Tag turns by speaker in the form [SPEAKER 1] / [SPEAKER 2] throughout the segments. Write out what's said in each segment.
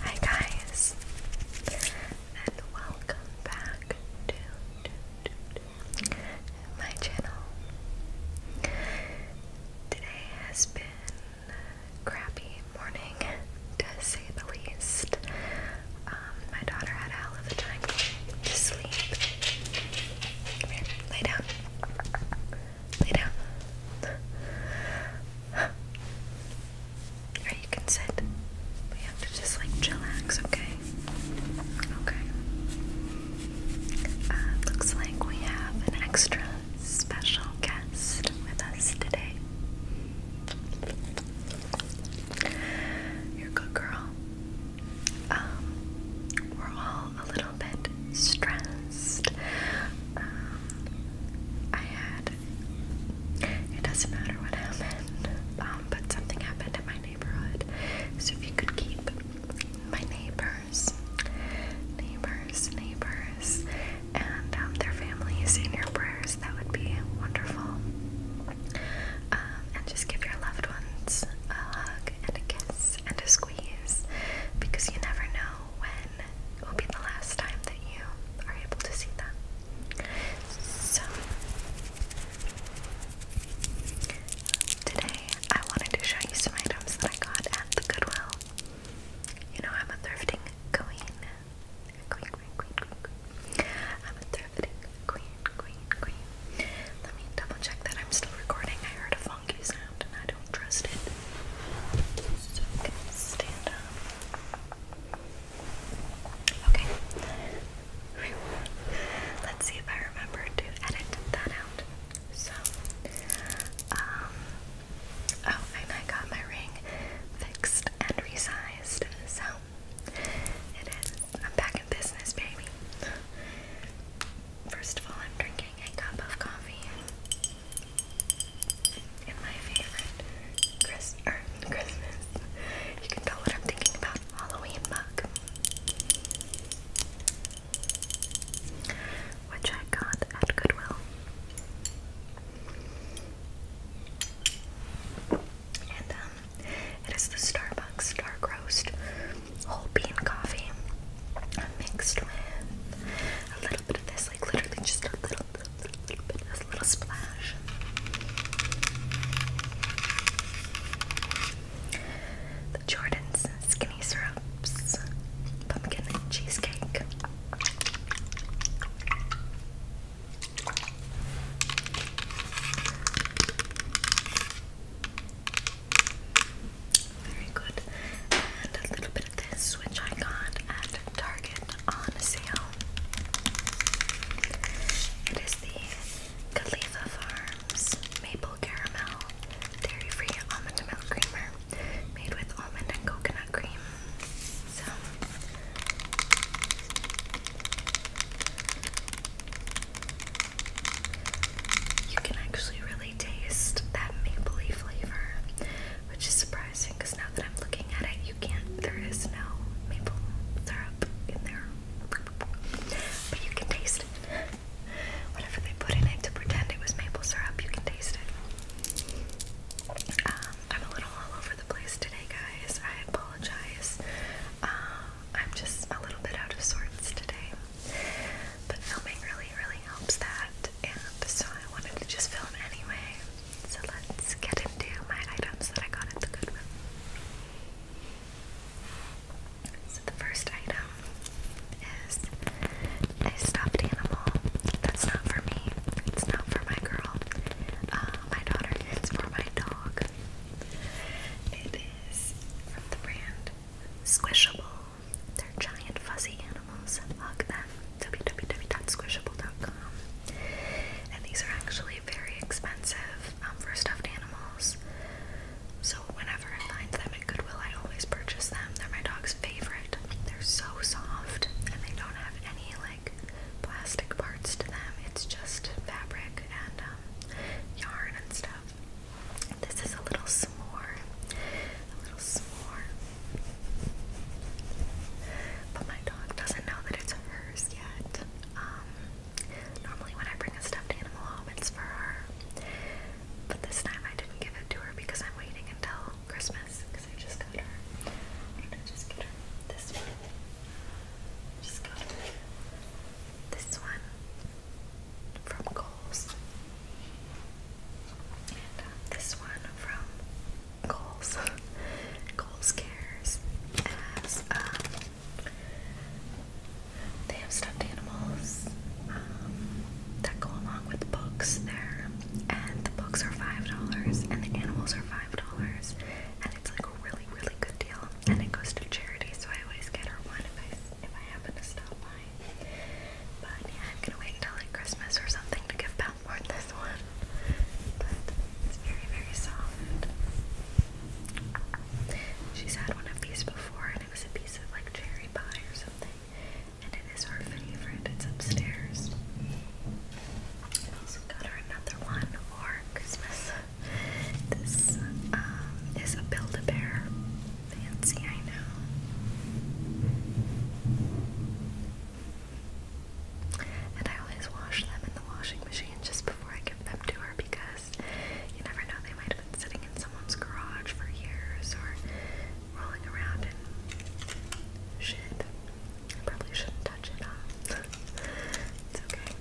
[SPEAKER 1] Hi guys, and welcome back to, my channel. Today has been crappy morning, to say the least. Um, my daughter had a hell of a time to sleep. Come here, lay down. Lay down. Or you can sit. We have to just like chillax, okay? Okay. Uh, looks like we have an extra special guest with us today. You're a good girl. Um, we're all a little bit stressed. Um, I had, it doesn't matter what happened, um, but something happened in my neighborhood. So if you could keep my neighbors, neighbors, neighbors, and um, their families in your prayers. That would be wonderful. Um, and just give your loved ones a hug and a kiss and a squeeze because you never know when it will be the last time that you are able to see them. So, today I wanted to show you some items that I got at the Goodwill. You know, I'm a thrifting queen, Queen, queen, queen, queen, queen. I'm a thrifty queen, queen, queen. Let me double check that I'm still recording. I heard a funky sound and I don't trust it. So stand up. Okay. Let's see if I remember to edit that out. So, um, oh, and I got my ring fixed and re so it is. I'm back in business, baby. First of all, I'm drinking a cup of coffee in my favorite er, Christmas. You can tell what I'm thinking about Halloween mug, which I got at Goodwill. And um, it is the Starbucks Dark Roast Whole Bean Coffee mixed with a little bit of this, like literally just a little, little, bit, a little splash. The Jordan's Skinny Syrups Pumpkin Cheesecake. Very good. And a little bit of this, which I got at Target on sale. It is the Khalifa Farms Maple Caramel Dairy Free Almond Milk Creamer made with almond and coconut cream you can actually really taste that mapley flavor, which is surprising because now that I'm looking at it, you can't. There is no maple syrup in there, but you can taste it. Whatever they put in it to pretend it was maple syrup, you can taste it. Um, I'm a little all over the place today, guys. I apologize. Uh, I'm just a little bit out of sorts today. But filming really, really helps that. And so I wanted to just film anyway. So let's get into my items that I got at the Goodwill. So the first item is a stuffed animal. That's not for me. It's not for my girl. Uh, my daughter it's for my dog. It is from the brand Squishable. They're giant fuzzy animals. Hug them. www.squishable.com. And these are actually very expensive um, for stuffed animals. So whenever I find them at Goodwill, I always purchase them. They're my dog's favorite. They're so soft and they don't have any like plastic parts to them. It's just fabric and um, yarn and stuff. This is a little s'more. A little s'more. But my dog doesn't know that it's hers yet. Um, normally when I bring a stuffed animal home, it's for her. But this time I didn't give it to her because I'm waiting until Christmas. I just got her. I just get her? This one. just got her. This one from Kohl's. And uh, this one from Kohl's. Kohl's Cares um, they have stuffed animals um, that go along with the books there, and the books are five dollars, and the animals are five dollars, and it's like like a really, really good deal, and it goes to charity, so I always get her one if I if I happen to stop by. But yeah, I'm gonna wait until like Christmas or something to give Pat Moore this one. But it's very, very soft. She's had one of these before, and it was a piece of like cherry pie or something. And it is her favorite. It's upstairs also got her another one for Christmas. This um, is a Build-A-Bear. Fancy, I know. And I always wash them in the washing machine just before I give them to her because you never know, they might have been sitting in someone's garage for years or rolling around in shit probably shouldn't touch it it's okay.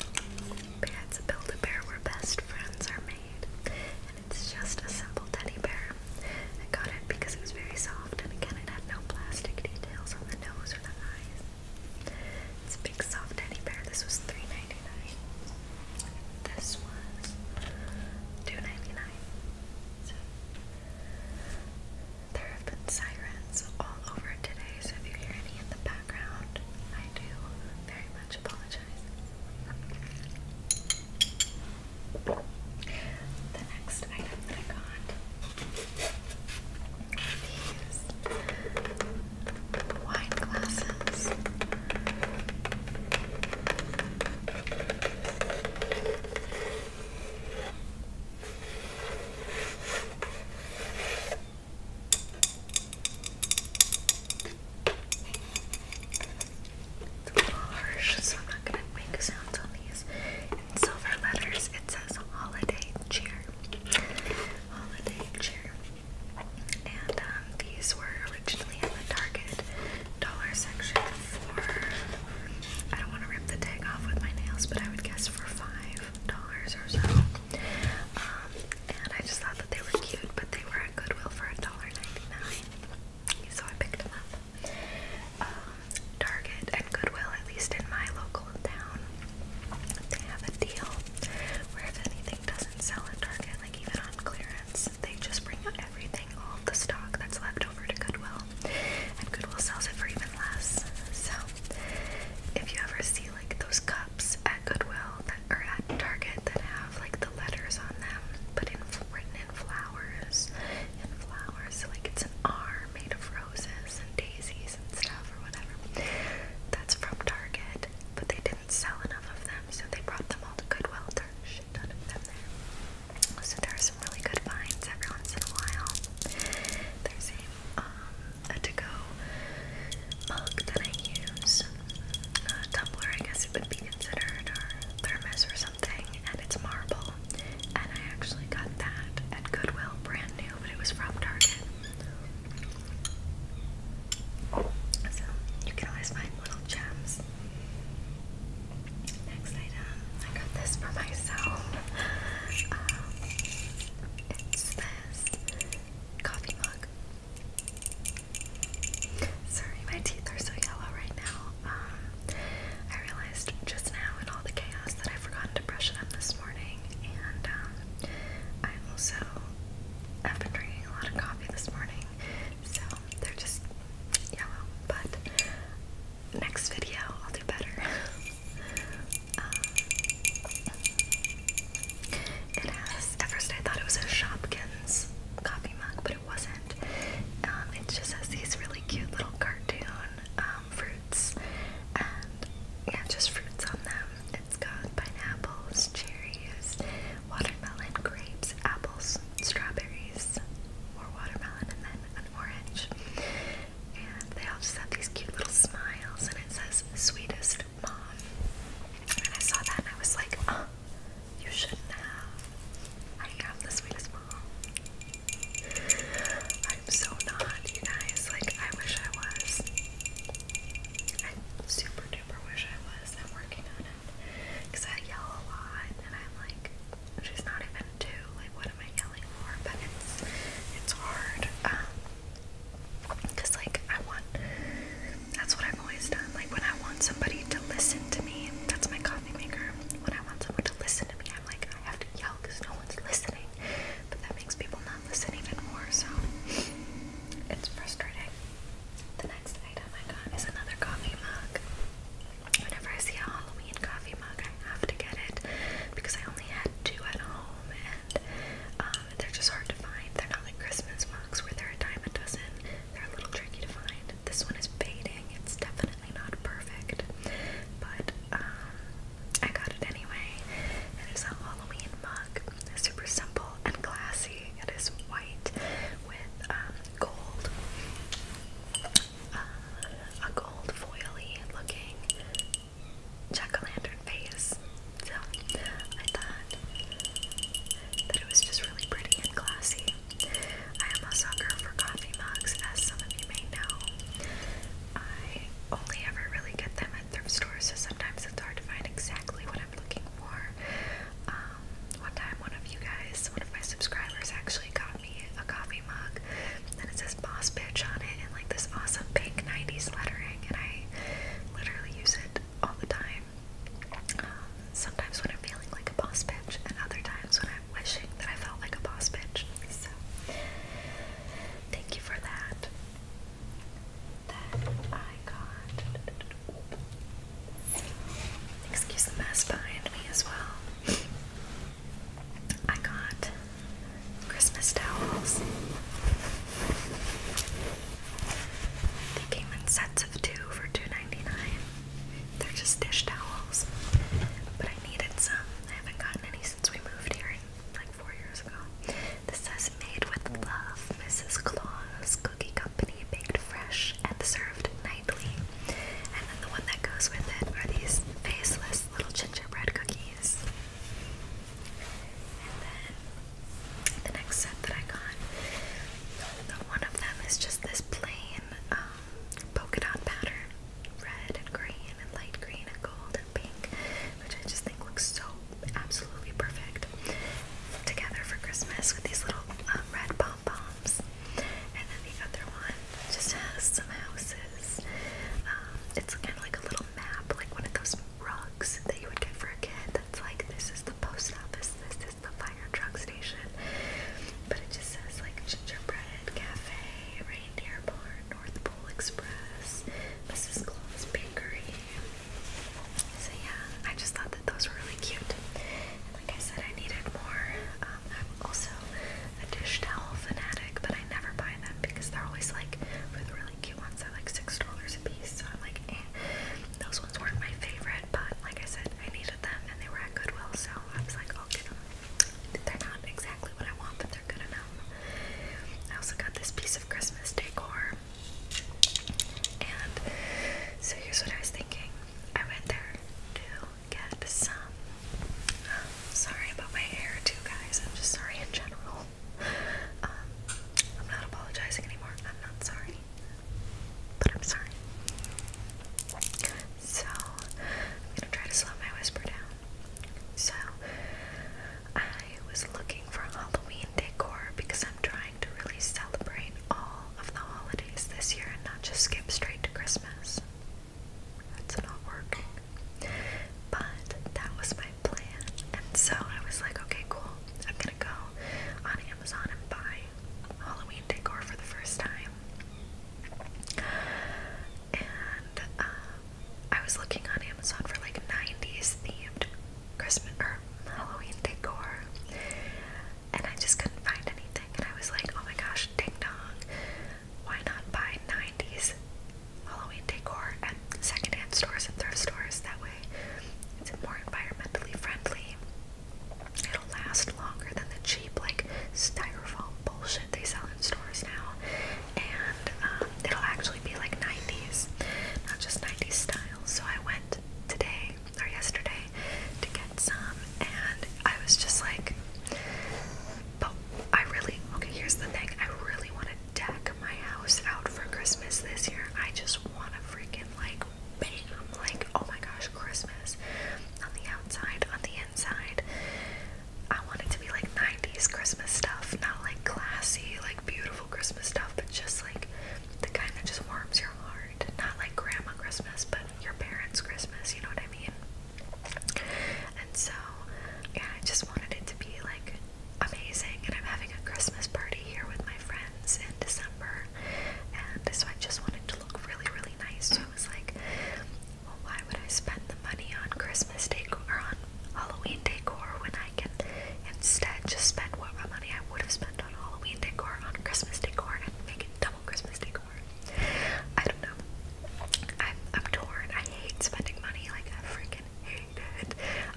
[SPEAKER 1] But yeah, it's a Build-A-Bear where best friends are made. And it's just a simple teddy bear. I got it because it was very soft and again it had no plastic details on the nose or the eyes. It's a big soft teddy bear. This was $3.99. This was 2 So there have been sirens all over today, so if you hear any in the background, I do very much apologize. The next item that I got are these wine glasses. It's harsh, so I'm not gonna make sounds on these. silver letters, it says holiday cheer. Holiday cheer. And um, these were originally in the Target dollar section I don't want to rip the tag off with my nails, but I would guess for $5 or so. Um, and I just thought that they were cute, but they were at Goodwill for $1.99. So I picked them up. Um, Target and Goodwill, at least in my local town, they have a deal where if anything doesn't sell at Target, like even on clearance, they just bring out everything, all of the stock that's left over to Goodwill. And Goodwill sells it for even less. So if you ever see see like those cups at Goodwill that are at Target that have like the letters on them, but in written in flowers, in flowers. So like it's an R made of roses and daisies and stuff or whatever. That's from Target, but they didn't sell enough of them, so they brought them all to Goodwill. There's a shit ton of them there. So there are some really good finds every once in a while. There's a um a to-go mug that I use. A tumbler, I guess it would be considered, or thermos or something, and it's marble. And I actually got that at Goodwill, brand new, but it was from Target. So you can always find little gems. Next item, I got this for myself. Um, it's the coffee mug. Sorry, my teeth are so yellow right now. Um, I realized just now in all the chaos that I forgot to brush them this morning, and um, I also have been drinking a lot of coffee this morning, so they're just yellow. But next video, I'll do better. Um, at first I thought it was a Shopkins coffee mug, but it wasn't. Um, it just has these really cute little cartoon um, fruits and yeah, just fruits on them. It's got pineapples, cherries, watermelon, grapes, apples, strawberries, more watermelon, and then an orange and they all just have these cute little smiles, and it says "Sweetest Mom." And I saw that, and I was like, "Oh, you should have. I have the sweetest mom. I'm so not, you guys. Like, I wish I was. I super duper wish I was. I'm working on it because I yell a lot, and I'm like." She's not even two. Like, what am I yelling for? But it's it's hard. Um, Cause like I want that's what I've always done. Like when I want somebody to listen to me, that's my coffee maker. When I want someone to listen to me, I'm like I have to yell because no one's listening. But that makes people not listen even more, so it's frustrating. The next item I got is another coffee mug. Whenever I see a Halloween coffee mug, I have to get it because I only had two at home, and um, they're just hard to find. They're not like Christmas mugs where they're a dime a dozen. They're a little tricky to find. This one is fading. It's definitely not perfect, but um, I got it anyway. It is a Halloween mug. It's super simple and classy. It is white with um, gold, uh, a gold foily looking jack lantern face. So I thought that it was just really pretty and classy. I am a sucker for coffee mugs, as some of you may know. I only ever really get them at thrift stores, so sometimes it's hard to find exactly what I'm looking for. Um, one time, one of you guys, one of my subscribers, actually got me a coffee mug, and it says "Boss Bitch" on it in like this awesome pink '90s lettering and I literally use it all the time. Um, sometimes when I'm feeling like a boss bitch, and other times when I'm wishing that I felt like a boss bitch. So, thank you for that. Then I got. Excuse the mess behind me as well. I got Christmas towels. They came in sets of two for 2 They're just dish towels. But I needed some. I haven't gotten any since we moved here like four years ago. This says made with love, Mrs. Claus Cookie Company, baked fresh and served nightly. And then the one that goes with it are these faceless little gingerbread cookies. And then the next set that I got, one of them is just this plain um, polka dot pattern, red and green and light green and gold and pink, which I just think looks so absolutely perfect together for Christmas with these little um, red pom poms. And then the other one just has some houses. Um, it's kind of like a little little map, like one of those rugs that you would get for a kid that's like, this is the post office, this is the fire truck station. But it just says like Gingerbread Cafe, Reindeer Barn, North Pole Express, Mrs. Claus Bakery. So yeah, I just thought that those were really cute. And like I said, I needed more. Um, I'm also a dish towel fanatic, but I never buy them because they're always like, for the really cute ones, they're like $6 i eh, Those ones weren't my favorite, but like I said, I needed them and they were at Goodwill, so I was like, I'll get them. They're not exactly what I want, but they're good enough. I also got this piece of Christmas decor. And so here's what I was thinking. I went there to get some. Um, sorry about my hair, too, guys. I'm just sorry in general. Um, I'm not apologizing anymore. I'm not sorry. But I'm sorry. So, I'm gonna try to slow my whisper down. So, I was looking for Halloween decor because I'm trying to really celebrate all of the holidays this year and not just skip straight to Christmas. That's not working. But that was my plan. And so I was like, okay, cool. I'm gonna go on Amazon and buy Halloween decor for the first time. And uh, I was looking on Amazon for like 90s themed Christmas or Halloween decor. And I just couldn't find anything. And I was like, oh my gosh, ding dong. Why not buy 90s Halloween decor at secondhand stores and thrift stores. That way, it's more environmentally friendly. It'll last longer than the cheap, like styrofoam bullshit they sell in stores now, and um, it'll actually be like 90s, not just 90s style. So I went today or yesterday to get some, and I was just like, but I really okay. Here's the thing: I really want deck my house out for Christmas this year. I just want to freaking like bam, like oh my gosh, Christmas on the outside, on the inside. I want it to be like 90s Christmas stuff, not like classy, like beautiful Christmas stuff, but just like the kind that just warms your heart. Not like grandma Christmas, but your parents' Christmas, you know what I mean? And so, yeah, I just wanted it to be like amazing, and I'm having a Christmas party here with my friends in December, and so I just wanted to look really, really nice. So I was like, well, why would I spend the money on Christmas decor or on Halloween decor when I can instead just spend what money I would have spent on Halloween decor on Christmas decor and make it double Christmas decor? I don't know. I'm, I'm torn. I hate spending money. Like I freaking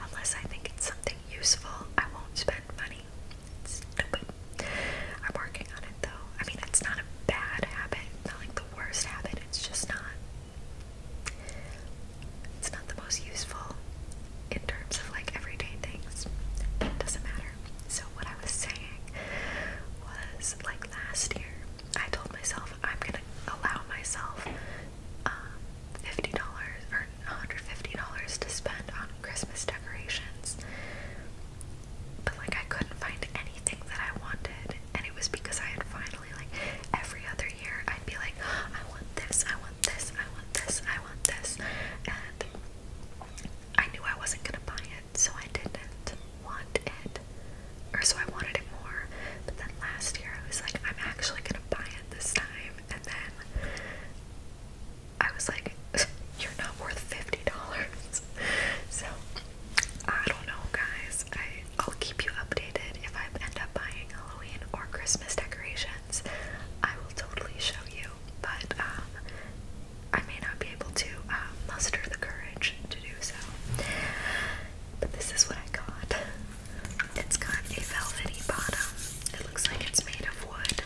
[SPEAKER 1] Unless I think it's something useful, I won't spend money. It's stupid. I'm working on it though. I mean, it's not a bad habit, not like the worst habit. It's just not. It's not the most useful in terms of like everyday things. It doesn't matter. So what I was saying was like last year, I told myself I'm gonna allow myself um, $50 or $150 to spend on Christmas decorations. But like I couldn't find anything that I wanted, and it was because I had finally like every other year I'd be like, I want this, I want this, I want this, I want this, and I knew I wasn't gonna buy it, so I didn't want it, or so I wanted it more. But then last year I was like, I'm actually gonna buy it this time, and then I was like, "You're not worth fifty dollars." So I don't know, guys. I will keep you updated if I end up buying Halloween or Christmas decorations. I will totally show you, but um, I may not be able to um, muster the courage to do so. But this is what I got. It's got a velvety bottom. It looks like it's made of wood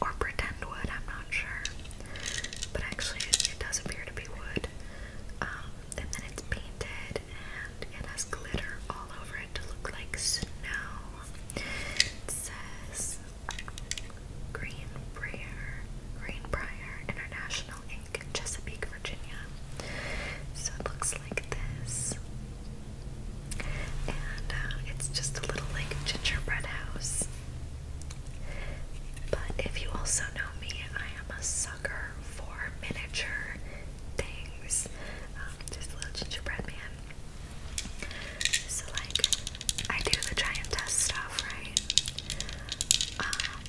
[SPEAKER 1] or pretend wood, I'm not sure. But actually, it does appear to be wood. Um, and then it's painted and it has glitter all over it to look like snow. It says Greenbrier, Greenbrier International Inc., Chesapeake, Virginia. So it looks like this. And uh, it's just a little like gingerbread house. But if you also know me, I am a sucker for miniature things. Um, just a little gingerbread man. So, like, I do the giant test stuff, right? Um,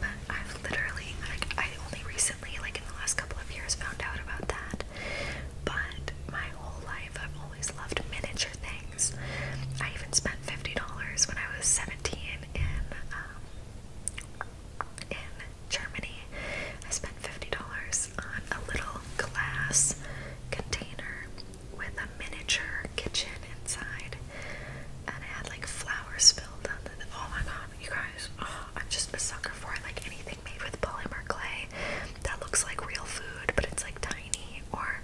[SPEAKER 1] but I've literally like I only recently, like in the last couple of years, found out about that. But my whole life, I've always loved miniature things. I even spent fifty dollars when I was seventeen in um, in Germany. I spent fifty dollars on a little glass container with a miniature kitchen inside, and I had like flowers spilled on the. Oh my god, you guys, oh, I'm just a sucker for like anything made with polymer clay that looks like real food, but it's like tiny or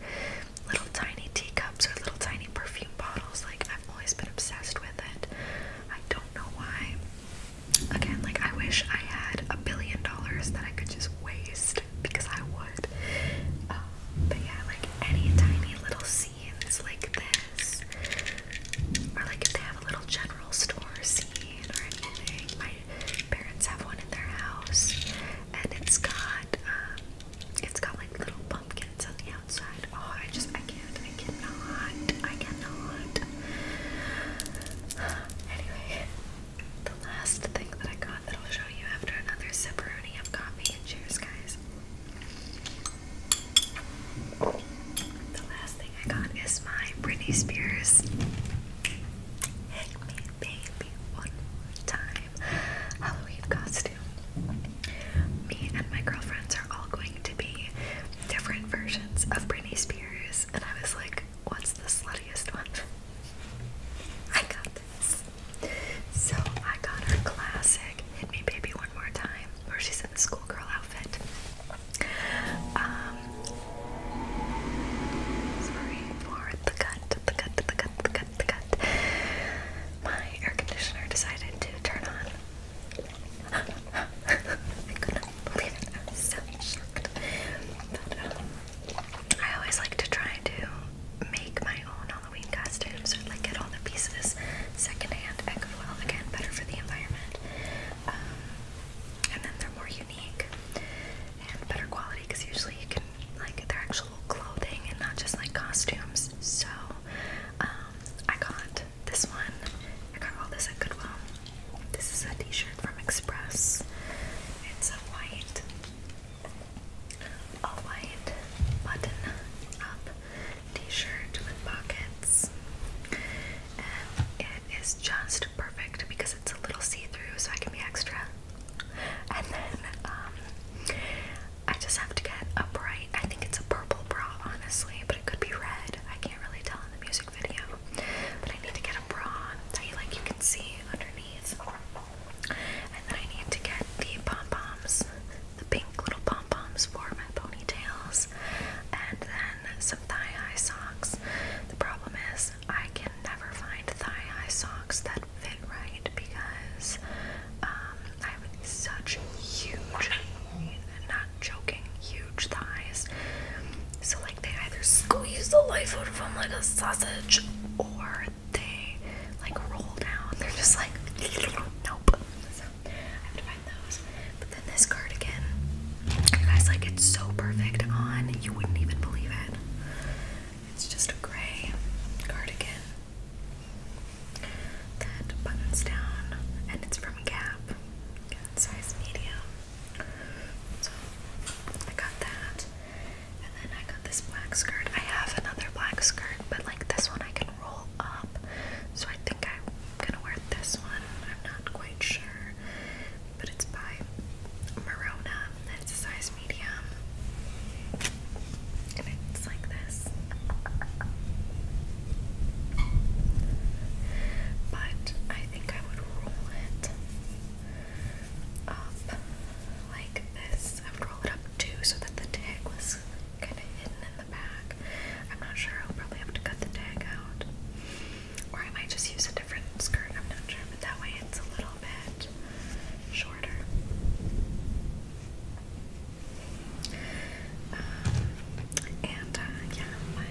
[SPEAKER 1] little tiny teacups or little tiny perfume bottles. Like I've always been obsessed with it. I don't know why. Again, like I wish I had a billion dollars that I could just waste because I would. Um, but yeah, like any tiny little scenes like this or like if they have a little general store scene or anything. My parents have one in their house, and it's got um, it's got like little pumpkins on the outside. Oh, I just I can't, I cannot, I cannot. Anyway, the last thing that I got that I'll show you after another sipperoni of coffee and cheers, guys. The last thing I got is my Britney Spears Hit Me Baby One More Time Halloween costume. Me and my girlfriends are all going to be different versions of Britney Spears, and I was like, what's the sluttiest one? I got this. So I got her classic Hit Me Baby One More Time, where she's schoolgirl outfit. Um, sorry for the cut, the cut, the cut, the cut, the cut. My air conditioner decided to turn on. Um, I always like to try to make my own Halloween costumes or like get all the pieces secondhand. I could again better for the environment. Um, and then they're more unique and better quality because usually you can like their actual clothing and not just like costumes. So um, I got this one. I got all this at Goodwill. This is a T-shirt from Express. It's a white, a white button-up T-shirt with pockets it is just perfect because it's a little see-through so I can be extra and then um, I just have to get a bright I think it's a purple bra honestly but it could be red I can't really tell in the music video but I need to get a bra that you like you can see underneath and then I need to get the pom-poms the pink little pom-poms for my ponytails and then some thigh high socks. The problem is, I can never find thigh high socks that fit right because um, I have such huge, i not joking, huge thighs. So, like, they either squeeze the life out of them like a sausage or they like roll down. They're just like, nope. I have to find those. But then this cardigan, you guys, like it's so perfect on, you wouldn't even believe it. It's just a gray cardigan that buttons down, and it's from Gap, size medium. So I got that, and then I got this black skirt. I have another black skirt, but like this one I can roll up, so I think I gonna wear this one. I'm not quite sure, but it's by Marona. It's a size medium, and it's like this. But I think I would roll it up like this. I would roll it up too, so that the tag was kind of hidden in the back. I'm not sure. I'll probably have to cut the tag out. Or I might just use a different skirt, I'm not sure, but that way it's a little bit shorter. Um, and uh, yeah,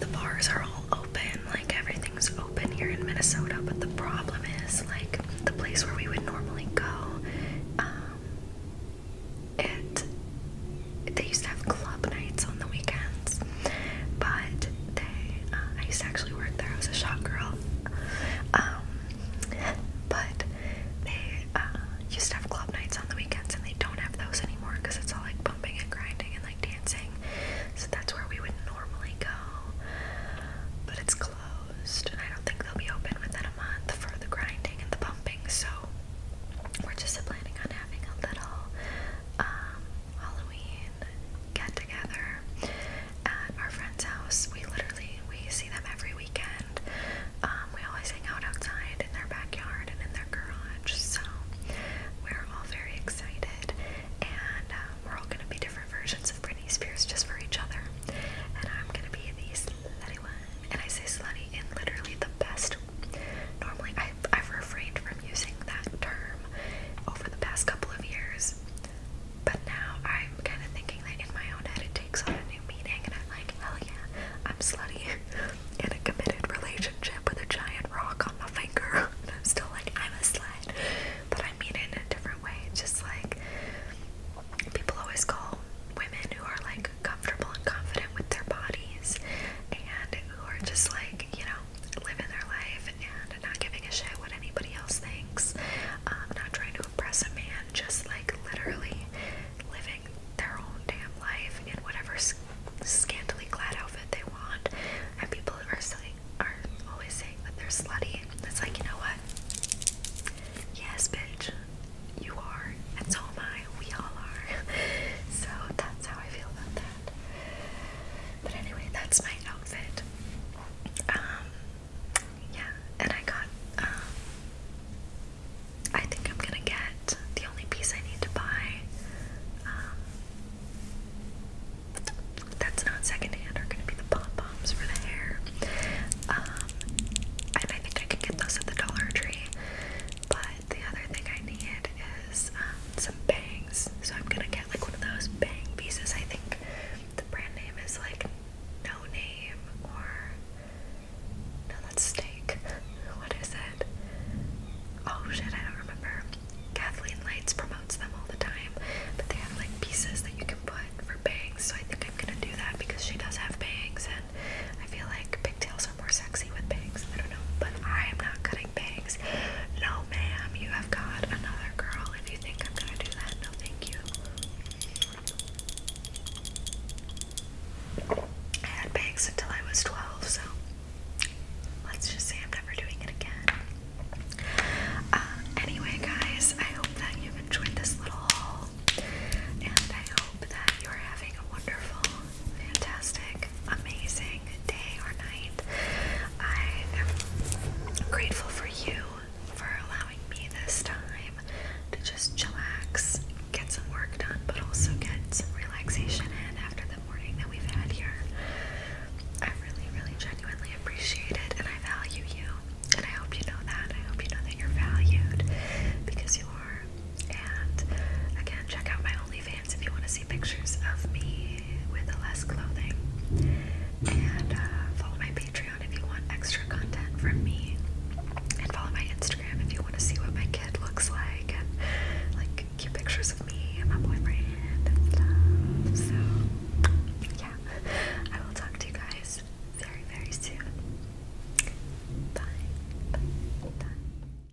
[SPEAKER 1] the bars are all open, like everything's open here in Minnesota. But the problem is, like the place where we would normally go, um, it they used to have club nights on the weekends, but they uh, I used to actually work there. I was a shop girl, um, but they uh, used to have club nights on the weekends, and they don't have those anymore because it's all like bumping and grinding and like dancing. So that's where we would normally go, but it's closed, and I don't think they'll be open within a month for the grinding and the bumping. So we're just planning on having a little um, Halloween get together at our friend's house. We literally we see them every weekend. Um, we always hang out outside in their backyard and in their garage. So we're all very excited, and um, we're all gonna be different versions of Britney Spears just for each other. And I'm gonna be the slutty one, and I say slutty in literally the best Normally, I've, refrained from using that term over the past couple of years, but now I'm kind of thinking that in my own head it takes on a new meaning, and I'm like, hell yeah, I'm slutty in a committed relationship with a giant rock on my finger. and I'm still like, I'm a slut, but I mean it in a different way. just like people always call women who are like like comfortable and confident with their bodies and who are just like, you know, living their life and not giving a shit what anybody else thinks. Um, not trying to impress a man, just like literally living their own damn life in whatever sc scantily clad outfit they want. And people are saying, are always saying that they're slutty. It's like, you know what? Yes, bitch, you are, and so am I we all are. so that's how I feel about that. But anyway, that's my outfit. Um, yeah, and I got, um, I think I'm gonna get the only piece I need to buy, um, that's not secondhand, are gonna be the pom poms for the hair. and I think I could get those at the Dollar Tree, but the other thing I need is um, some bangs. So I'm gonna get like one of those bang pieces. I think the brand name is like No Name or no, that's steak. What is it? Oh shit, I don't remember. Kathleen Lights promotes them all the time, but they have like pieces that you can put for bangs. So I think I'm gonna do that because she does have bangs, and I feel like pigtails more sexy with bangs. I don't know, but I am not cutting bangs. No, ma'am, you have got another girl. If you think I'm gonna do that, no, thank you. I had bangs until I was 12, so let's just say I'm never doing it again. Uh, anyway, guys, I hope that you've enjoyed this little haul, and I hope that you're having a wonderful fantastic, amazing day or night. I am grateful for you for allowing me this time to just chillax, get some work done, but also get some relaxation in after the morning that we've had here. I really, really genuinely appreciate it and I value you. And I hope you know that. I hope you know that you're valued because you are and again, check out my OnlyFans if you want to see pictures of me with less clothing. And uh, follow my Patreon if you want extra content from me. And follow my Instagram if you want to see what my kid looks like and like cute pictures of me and my boyfriend and stuff. So, yeah, I will talk to you guys very, very soon. Bye. Bye. Bye.